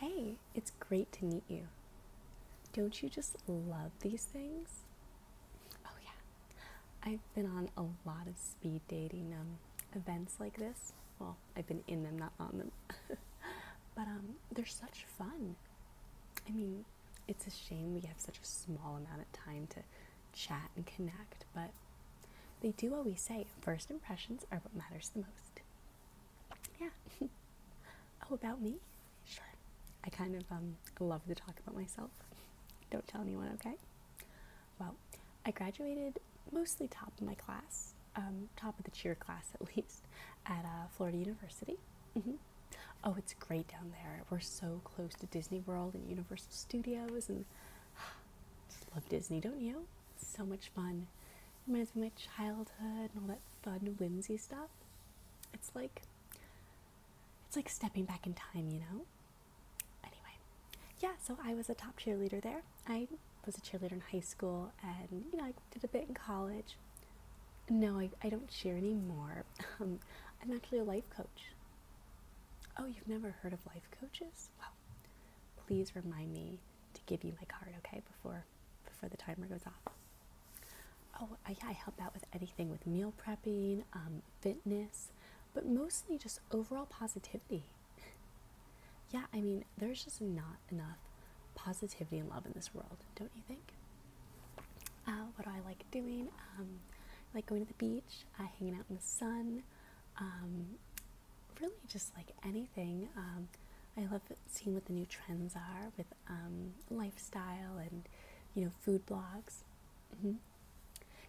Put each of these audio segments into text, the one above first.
Hey, it's great to meet you. Don't you just love these things? Oh, yeah. I've been on a lot of speed dating um, events like this. Well, I've been in them, not on them. but um, they're such fun. I mean, it's a shame we have such a small amount of time to chat and connect, but they do always say first impressions are what matters the most. Yeah. oh, about me? Sure. I kind of um, love to talk about myself. Don't tell anyone, okay? Well, I graduated mostly top of my class, um, top of the cheer class at least, at uh, Florida University. Mm-hmm. Oh, it's great down there. We're so close to Disney World and Universal Studios, and just love Disney, don't you? so much fun reminds me of my childhood and all that fun whimsy stuff it's like it's like stepping back in time you know anyway yeah so i was a top cheerleader there i was a cheerleader in high school and you know i did a bit in college no i, I don't cheer anymore um, i'm actually a life coach oh you've never heard of life coaches well please remind me to give you my card, okay, before before the timer goes off. Oh, I, I help out with anything with meal prepping, um, fitness, but mostly just overall positivity. yeah, I mean, there's just not enough positivity and love in this world, don't you think? Uh, what do I like doing? Um, like going to the beach, uh, hanging out in the sun. Um, really just like anything. Um, I love seeing what the new trends are with um, lifestyle and you know food blogs. Mm-hmm.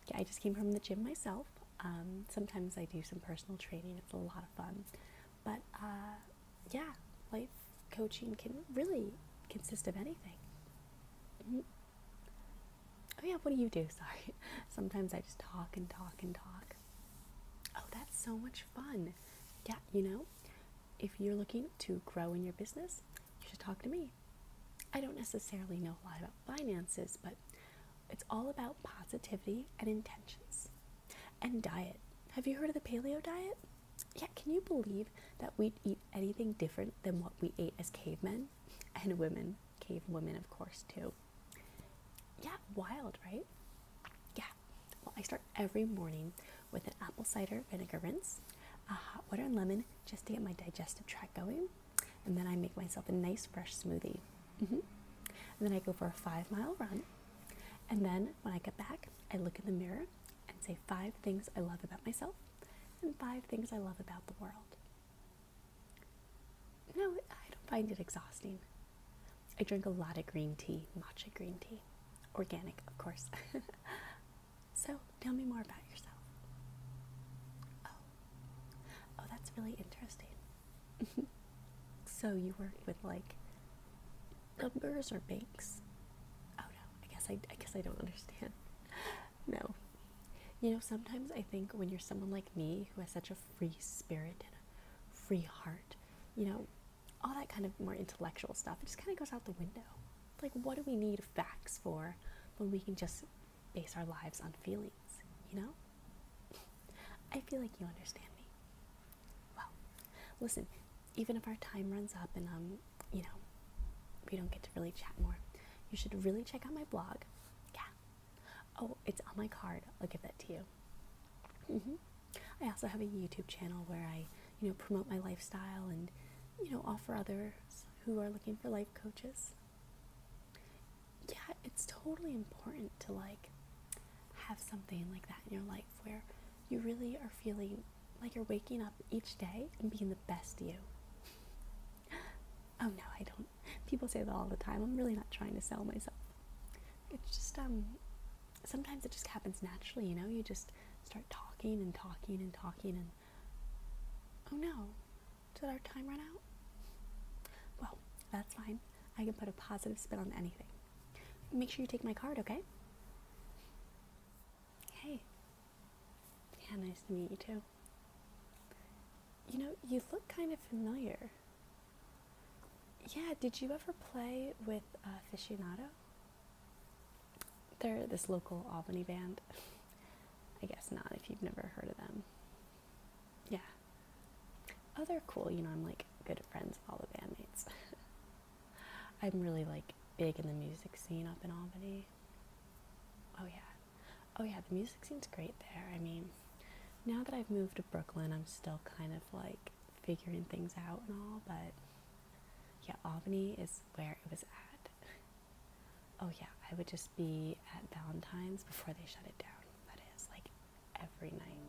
Yeah, I just came from the gym myself. Um, sometimes I do some personal training. It's a lot of fun, but uh, yeah, life coaching can really consist of anything. Mm-hmm. Oh yeah, what do you do? Sorry. Sometimes I just talk and talk and talk. Oh, that's so much fun. Yeah, you know, if you're looking to grow in your business, you should talk to me. I don't necessarily know a lot about finances, but it's all about positivity and intentions. And diet. Have you heard of the paleo diet? Yeah, can you believe that we'd eat anything different than what we ate as cavemen and women? cave women, of course, too. Yeah, wild, right? Yeah. Well, I start every morning with an apple cider vinegar rinse, a hot water and lemon just to get my digestive tract going, and then I make myself a nice fresh smoothie. Mm-hmm. And then I go for a five mile run, and then when I get back, I look in the mirror and say five things I love about myself and five things I love about the world. No, I don't find it exhausting. I drink a lot of green tea, matcha green tea, organic, of course. so tell me more about yourself. Oh, oh, that's really interesting. so you work with like numbers or banks? Oh no, I guess I, I guess I don't understand. No, you know sometimes I think when you're someone like me who has such a free spirit and a free heart, you know, all that kind of more intellectual stuff. It just kind of goes out the window. Like, what do we need facts for when we can just base our lives on feelings, you know? I feel like you understand me. Well, listen, even if our time runs up and, um, you know, we don't get to really chat more, you should really check out my blog. Yeah, Oh, it's on my card. I'll give that to you. Mm-hmm. I also have a YouTube channel where I, you know, promote my lifestyle and, you know, offer others who are looking for life coaches. Yeah, it's totally important to like have something like that in your life where you really are feeling like you're waking up each day and being the best you. Oh no, I don't. People say that all the time. I'm really not trying to sell myself. It's just um sometimes it just happens naturally, you know? You just start talking and talking and talking and Oh no. Did our time run out? Well, that's fine. I can put a positive spin on anything. Make sure you take my card, okay? Hey. Yeah, nice to meet you too. You know, you look kind of familiar. Yeah, did you ever play with uh, Aficionado? They're this local Albany band. I guess not if you've never heard of them. Yeah. Oh, they're cool. You know, I'm like good friends with all the bandmates. I'm really like big in the music scene up in Albany. Oh, yeah. Oh, yeah, the music scene's great there. I mean, now that I've moved to Brooklyn, I'm still kind of like figuring things out and all, but yeah, Albany is where it was at. Oh, yeah, I would just be at Valentine's before they shut it down. That is like every night.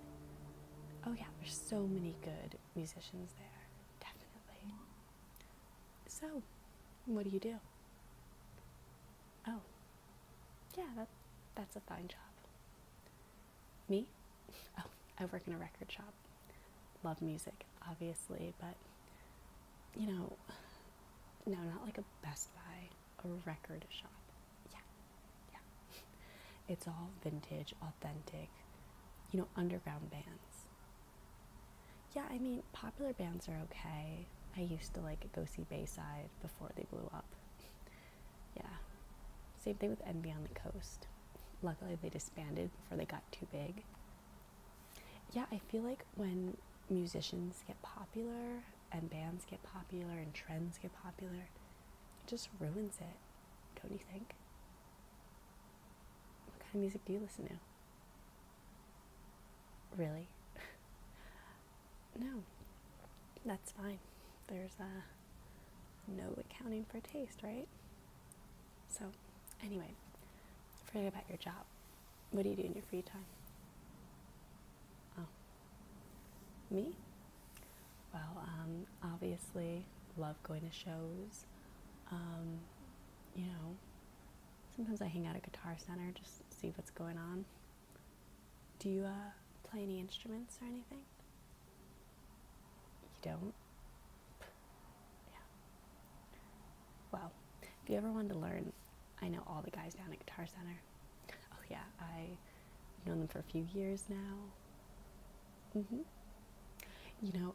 Oh, yeah, there's so many good musicians there, definitely. So, what do you do? Oh, yeah, that's a fine job. Me? Oh, I work in a record shop. Love music, obviously, but you know, no, not like a Best Buy, a record shop. Yeah, yeah. It's all vintage, authentic, you know, underground bands. Yeah, I mean, popular bands are okay. I used to like go see Bayside before they blew up. Yeah. Same thing with Envy on the Coast. Luckily, they disbanded before they got too big. Yeah, I feel like when musicians get popular and bands get popular and trends get popular, it just ruins it, don't you think? What kind of music do you listen to? Really? No, that's fine. There's uh, no accounting for taste, right? So, anyway, forget about your job. What do you do in your free time? Oh, me? Well, um, obviously, love going to shows. Um, you know, sometimes I hang out at Guitar Center just see what's going on. Do you uh, play any instruments or anything? You don't? Yeah. Well, if you ever wanted to learn, I know all the guys down at Guitar Center. Oh, yeah, I've known them for a few years now. Mm hmm. You know,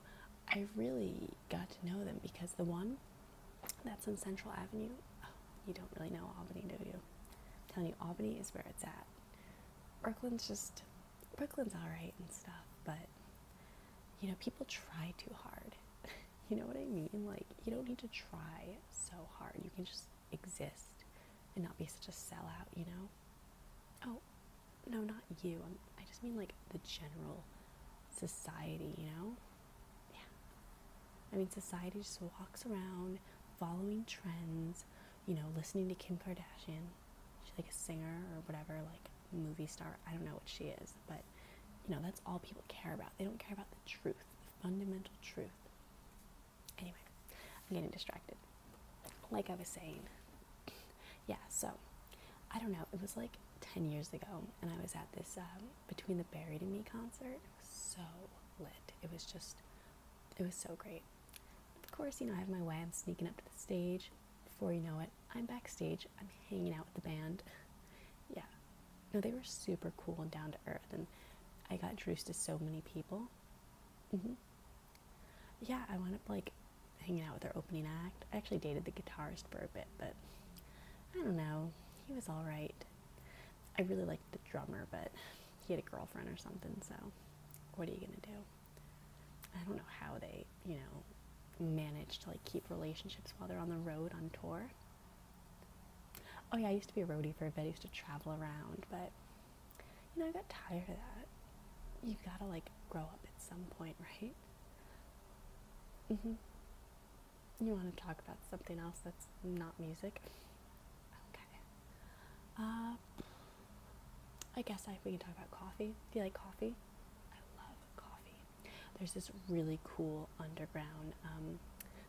I really got to know them because the one that's in Central Avenue. Oh, you don't really know Albany, do you? I'm telling you, Albany is where it's at. Brooklyn's just, Brooklyn's alright and stuff, but you know, people try too hard. you know what I mean? Like, you don't need to try so hard. You can just exist and not be such a sellout, you know? Oh, no, not you. I just mean like the general society, you know? yeah. I mean, society just walks around following trends, you know, listening to Kim Kardashian. She's like a singer or whatever, like movie star. I don't know what she is, but you know, that's all people care about. They don't care about the truth, the fundamental truth. Anyway, I'm getting distracted. Like I was saying, yeah, so I don't know. It was like 10 years ago, and I was at this um, between the Buried and Me concert. It was so lit. It was just, it was so great. Of course, you know, I have my way. I'm sneaking up to the stage. Before you know it, I'm backstage. I'm hanging out with the band. yeah. No, they were super cool and down to earth. And I got introduced to so many people. Mm-hmm. Yeah, I wound up like hanging out with their opening act. I actually dated the guitarist for a bit, but I don't know. He was alright. I really liked the drummer, but he had a girlfriend or something, so what are you gonna do? I don't know how they, you know, manage to like keep relationships while they're on the road on tour. Oh yeah, I used to be a roadie for a bit. I used to travel around, but you know, I got tired of that. You gotta like grow up at some point, right? Mm-hmm you want to talk about something else that's not music? Okay. Uh, I guess I, we can talk about coffee. Do you like coffee? I love coffee. There's this really cool underground um,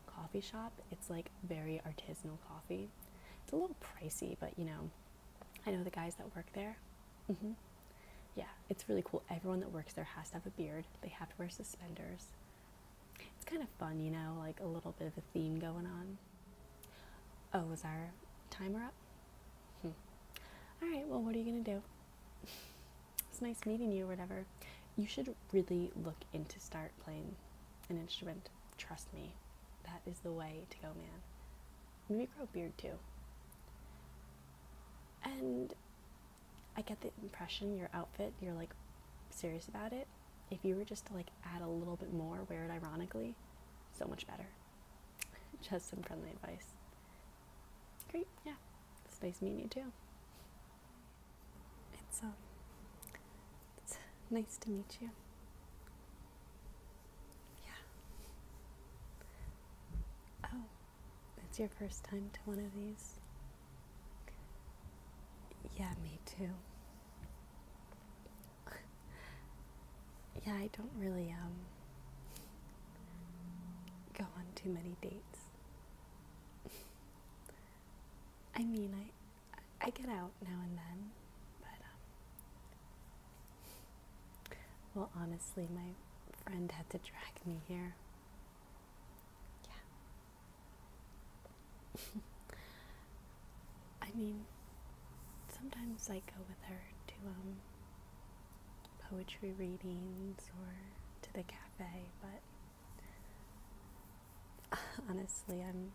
coffee shop. It's like very artisanal coffee. It's a little pricey, but you know, I know the guys that work there. Mm -hmm. Yeah, it's really cool. Everyone that works there has to have a beard. They have to wear suspenders. It's kind of fun, you know, like a little bit of a theme going on. Oh, was our timer up? Hmm. All right, well, what are you going to do? it's nice meeting you whatever. You should really look into start playing an instrument. Trust me, that is the way to go, man. Maybe grow a beard too. And I get the impression your outfit, you're like serious about it. If you were just to like add a little bit more, wear it ironically, so much better. Just some friendly advice. Great, yeah. It's nice meeting you too. Um, it's nice to meet you. Yeah. Oh, it's your first time to one of these. Yeah, me too. yeah, I don't really um go on too many dates. I mean, I I get out now and then, but um well, honestly, my friend had to drag me here. Yeah. I mean, sometimes I go with her to um poetry readings or to the cafe, but honestly, I'm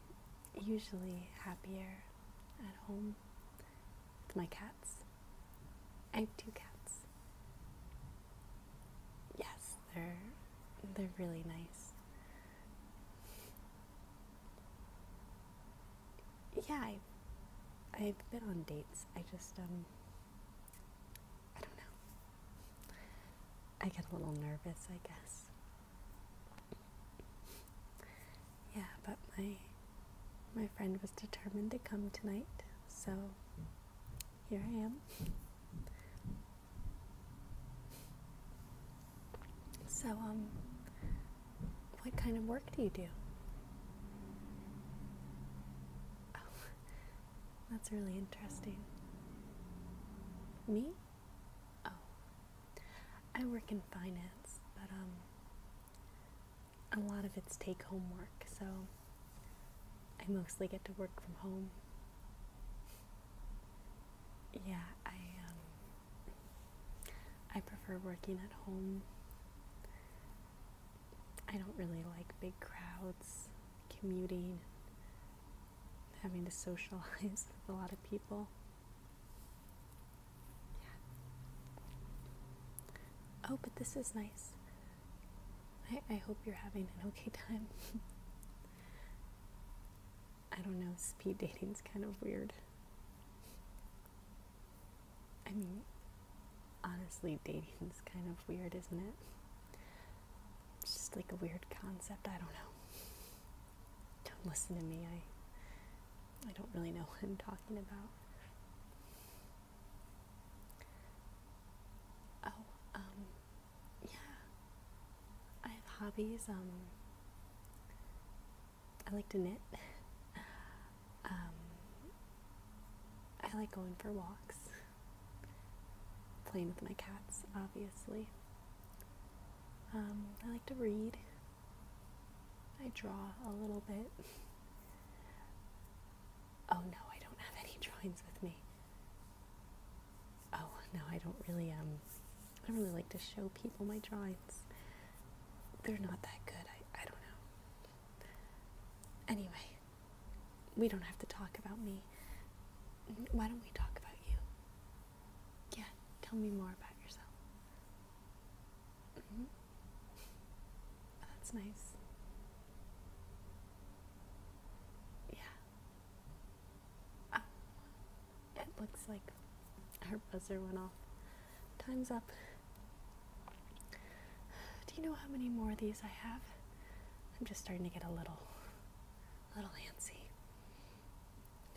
usually happier at home with my cats. I have two cats. Yes, they're they're really nice. Yeah, I have been on dates. I just um I don't know. I get a little nervous, I guess. Yeah, but my my friend was determined to come tonight, so here I am. So, um, what kind of work do you do? Oh, that's really interesting. Me? Oh, I work in finance, but um, a lot of it's take home work, so I mostly get to work from home. Yeah, I um, I prefer working at home. I don't really like big crowds, commuting, having to socialize with a lot of people. Oh, but this is nice. I, I hope you're having an okay time. I don't know, speed dating's kind of weird. I mean, honestly, dating's kind of weird, isn't it? It's just like a weird concept. I don't know. Don't listen to me. I I don't really know what I'm talking about. Oh, um, yeah. I have hobbies. Um, I like to knit. um, I like going for walks, playing with my cats, obviously. Um, I like to read. I draw a little bit. Oh no, I don't have any drawings with me. Oh no, I don't really um I don't really like to show people my drawings. They're not that good. I, I don't know. Anyway, we don't have to talk about me. Why don't we talk about you? Yeah, tell me more about yourself. Mm-hmm that's nice. Yeah. Oh, it looks like her buzzer went off. Time's up. Do you know how many more of these I have? I'm just starting to get a little, a little antsy.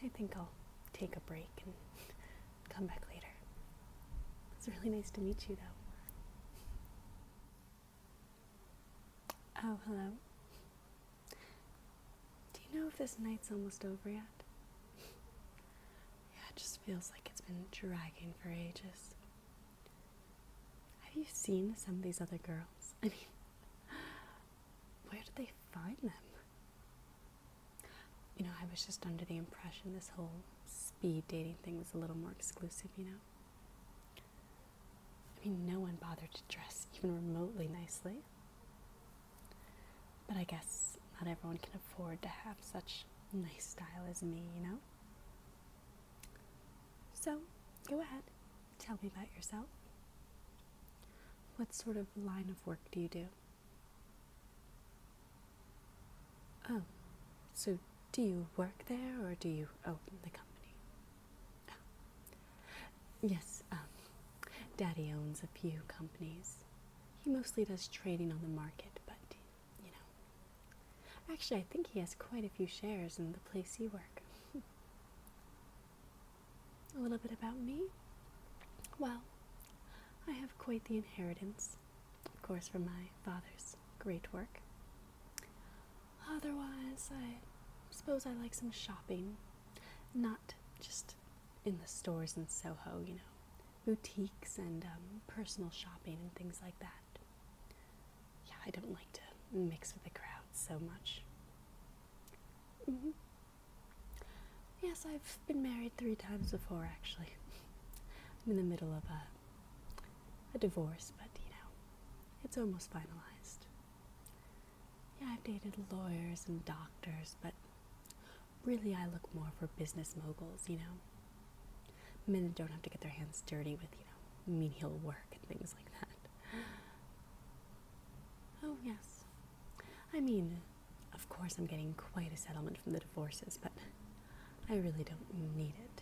I think I'll take a break and come back later. It's really nice to meet you, though. Oh, hello. Do you know if this night's almost over yet? yeah, it just feels like it's been dragging for ages. Have you seen some of these other girls? I mean, where did they find them? You know, I was just under the impression this whole speed dating thing was a little more exclusive, you know? I mean, no one bothered to dress even remotely nicely. But I guess not everyone can afford to have such nice style as me, you know? So, go ahead, tell me about yourself. What sort of line of work do you do? Oh, so do you work there or do you own the company? Oh. Yes, um, Daddy owns a few companies. He mostly does trading on the market, but you know. Actually, I think he has quite a few shares in the place you work. a little bit about me? Well, I have quite the inheritance of course, from my father's great work. Otherwise, I suppose I like some shopping, not just in the stores in Soho, you know, boutiques and um, personal shopping and things like that. Yeah, I don't like to mix with the crowd so much. Mm-hmm. Yes, I've been married three times before, actually. I'm in the middle of a a divorce, but you know, it's almost finalized. Yeah, I've dated lawyers and doctors, but really I look more for business moguls, you know. Men that don't have to get their hands dirty with, you know, menial work and things like that. Oh, yes. I mean, of course, I'm getting quite a settlement from the divorces, but I really don't need it.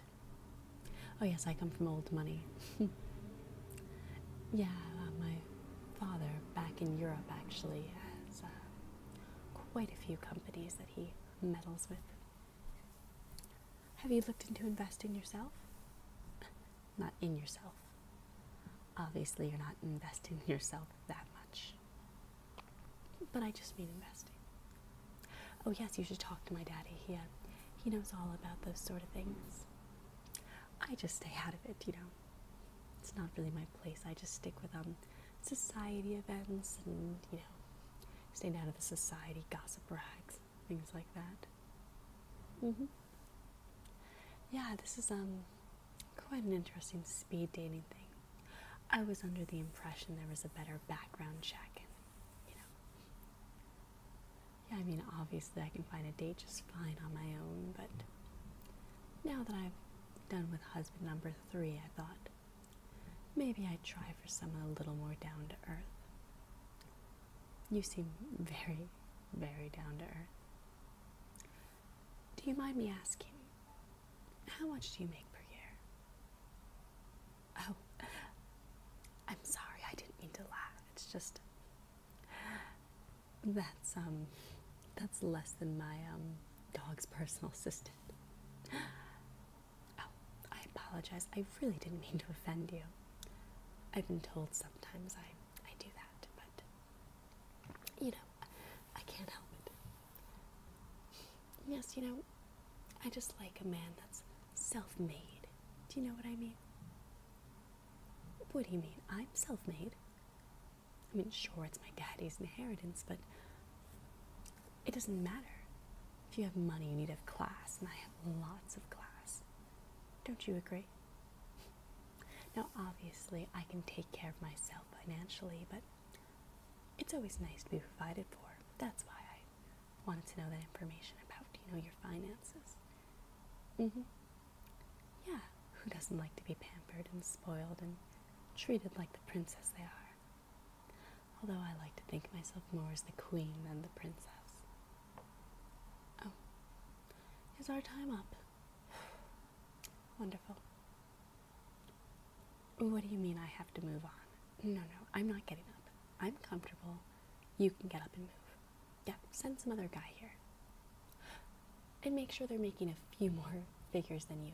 Oh, yes, I come from old money. yeah, uh, my father, back in Europe, actually has uh, quite a few companies that he meddles with. Have you looked into investing yourself? Not in yourself. Obviously, you're not investing yourself that much. But I just mean investing. Oh yes, you should talk to my daddy. He uh, he knows all about those sort of things. I just stay out of it, you know. It's not really my place. I just stick with um society events and you know, staying out of the society gossip rags, things like that. mm Mhm. yeah, this is um quite an interesting speed dating thing. I was under the impression there was a better background check yeah, I mean, obviously I can find a date just fine on my own, but now that I've done with husband number three, I thought maybe I'd try for someone a little more down to earth. You seem very, very down to earth. Do you mind me asking, how much do you make per year? Oh, I'm sorry, I didn't mean to laugh. It's just that's um that's less than my um dog's personal assistant. Oh, I apologize. I really didn't mean to offend you. I've been told sometimes I I do that, but you know, I can't help it. Yes, you know, I just like a man that's self made. Do you know what I mean? What do you mean? I'm self made. I mean, sure, it's my daddy's inheritance, but it doesn't matter. If you have money, you need to have class, and I have lots of class. Don't you agree? Now, obviously, I can take care of myself financially, but it's always nice to be provided for. That's why I wanted to know that information about, you know, your finances. Mm-hmm. Yeah, who doesn't like to be pampered and spoiled and treated like the princess they are? Although I like to think myself more as the queen than the princess. Oh, is our time up? Wonderful. What do you mean I have to move on? No, no, I'm not getting up. I'm comfortable. You can get up and move. Yep, send some other guy here. And make sure they're making a few more figures than you.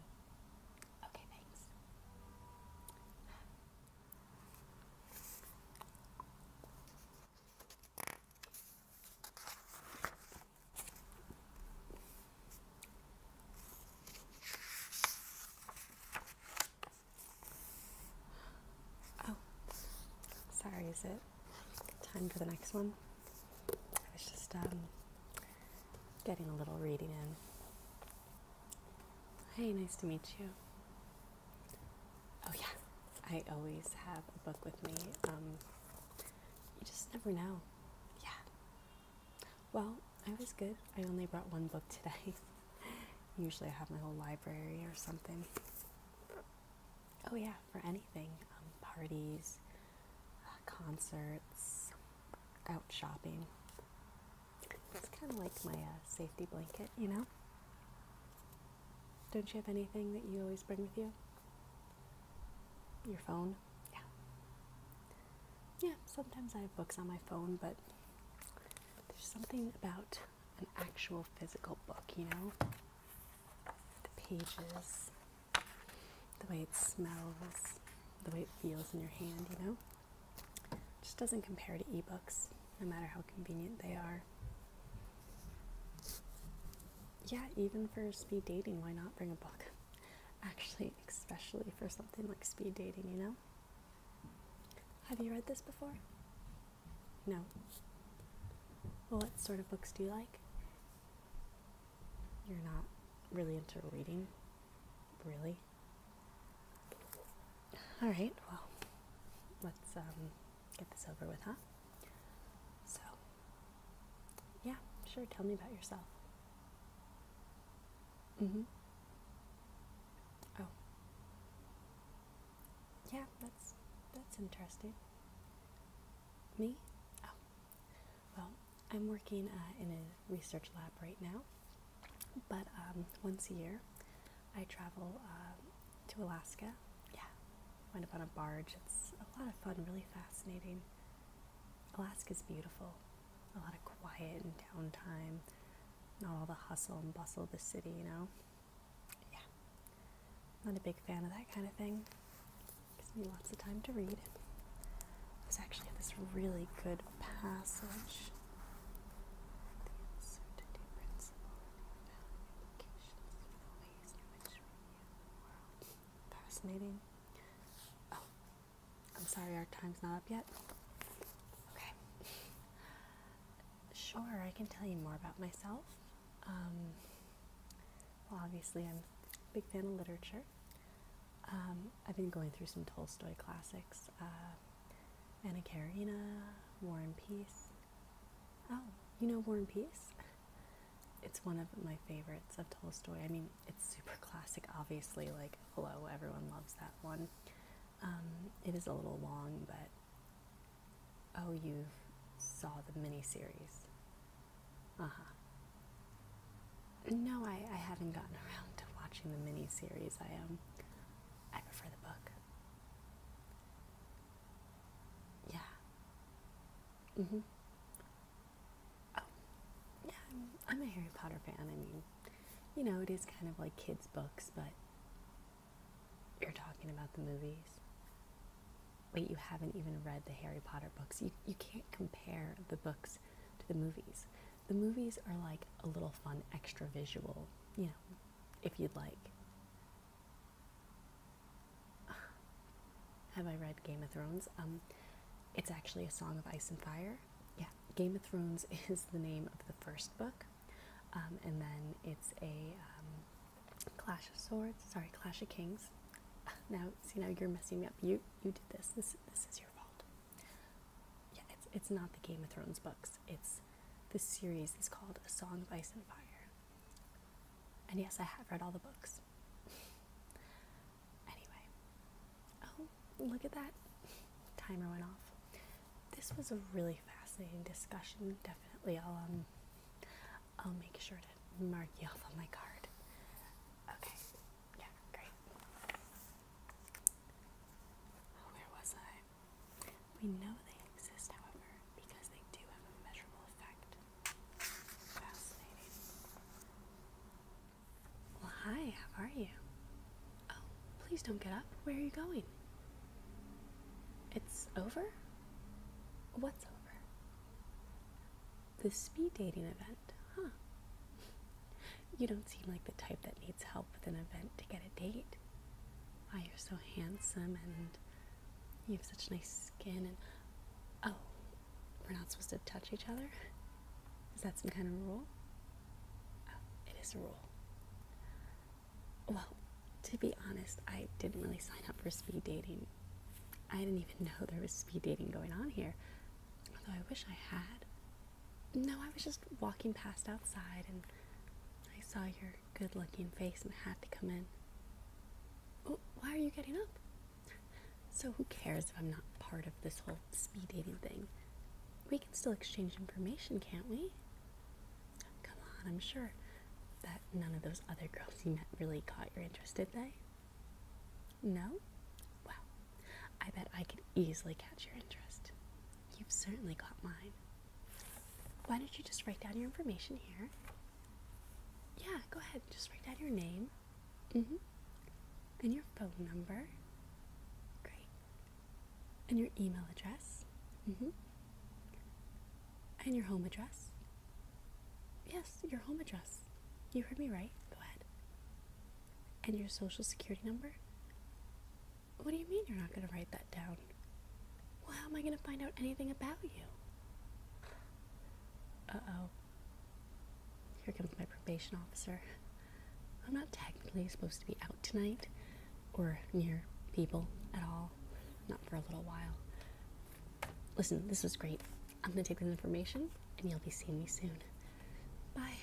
Okay, thanks. Oh, sorry, is it time for the next one? I was just um, getting a little reading in. Hey, nice to meet you. Oh, yeah, I always have a book with me. Um, you just never know. Yeah, well, I was good. I only brought one book today. Usually I have my whole library or something. Oh, yeah, for anything um, parties, uh, concerts, out shopping. It's kind of like my uh, safety blanket, you know? Don't you have anything that you always bring with you? Your phone? Yeah. Yeah, sometimes I have books on my phone, but there's something about an actual physical book, you know? The pages, the way it smells, the way it feels in your hand, you know? just doesn't compare to e-books, no matter how convenient they are. Yeah, even for speed dating, why not bring a book? Actually, especially for something like speed dating, you know? Have you read this before? No. what sort of books do you like? You're not really into reading, really? All right, well, let's um, get this over with, huh? So, yeah, sure, tell me about yourself. Mm-hmm. Oh. Yeah, that's that's interesting. Me? Oh. Well, I'm working uh, in a research lab right now, but um, once a year I travel uh, to Alaska. Yeah, went up on a barge. It's a lot of fun, really fascinating. Alaska's beautiful a lot of quiet and downtime, not all the hustle and bustle of the city, you know? Yeah. Not a big fan of that kind of thing. Gives me lots of time to read. I was actually at this really good passage. Fascinating. Oh, I'm sorry, our time's not up yet. Okay. Sure, I can tell you more about myself. Um, well, obviously, I'm a big fan of literature. Um, I've been going through some Tolstoy classics uh, Anna Karenina, War and Peace. Oh, you know War and Peace? It's one of my favorites of Tolstoy. I mean, it's super classic, obviously. Like, hello, everyone loves that one. Um, it is a little long, but oh, you saw the miniseries. Uh huh. No, I, I haven't gotten around to watching the miniseries. I am. Um, I prefer the book. Yeah. Mm hmm. Oh, yeah, I'm, a Harry Potter fan. I mean, you know, it is kind of like kids' books, but you're talking about the movies. Wait, you haven't even read the Harry Potter books. You, you can't compare the books to the movies. The movies are like a little fun extra visual, you know, if you'd like. Have I read Game of Thrones? Um, it's actually a Song of Ice and Fire. Yeah, Game of Thrones is the name of the first book, um, and then it's a um, Clash of Swords. Sorry, Clash of Kings. Now, see now you're messing me up. You you did this. This this is your fault. Yeah, it's it's not the Game of Thrones books. It's this series is called A Song of Ice and Fire. And yes, I have read all the books. Anyway, oh, look at that. Timer went off. This was a really fascinating discussion. Definitely, I'll um, I'll make sure to mark you off on my card. Okay, yeah, great. Oh, where was I? We know they exist, however, because they do have a measurable effect. Fascinating. Well, hi, how are you? Oh, please don't get up. Where are you going? It's over? What's over? The speed dating event, huh? You don't seem like the type that needs help with an event to get a date. Why, you're so handsome and you have such nice skin and. Oh, we're not supposed to touch each other? Is that some kind of rule? Oh, it is a rule. Well, to be honest, I didn't really sign up for speed dating. I didn't even know there was speed dating going on here, although I wish I had. No, I was just walking past outside and I saw your good looking face and had to come in. Oh, why are you getting up? So, who cares if I'm not part of this whole speed dating thing. We can still exchange information, can't we? Come on, I'm sure that none of those other girls you met really caught your interest, did they? No? Wow, I bet I could easily catch your interest. You've certainly got mine. Why don't you just write down your information here? Yeah, go ahead, just write down your name, Mm hmm. And your phone number. Great. And your email address. Mm hmm. And your home address. Yes, your home address. You heard me right. Go ahead. And your social security number? What do you mean you're not going to write that down? Well, how am I going to find out anything about you? Uh oh. Here comes my probation officer. I'm not technically supposed to be out tonight or near people at all. Not for a little while. Listen, this was great. I'm going to take this information and you'll be seeing me soon. Bye.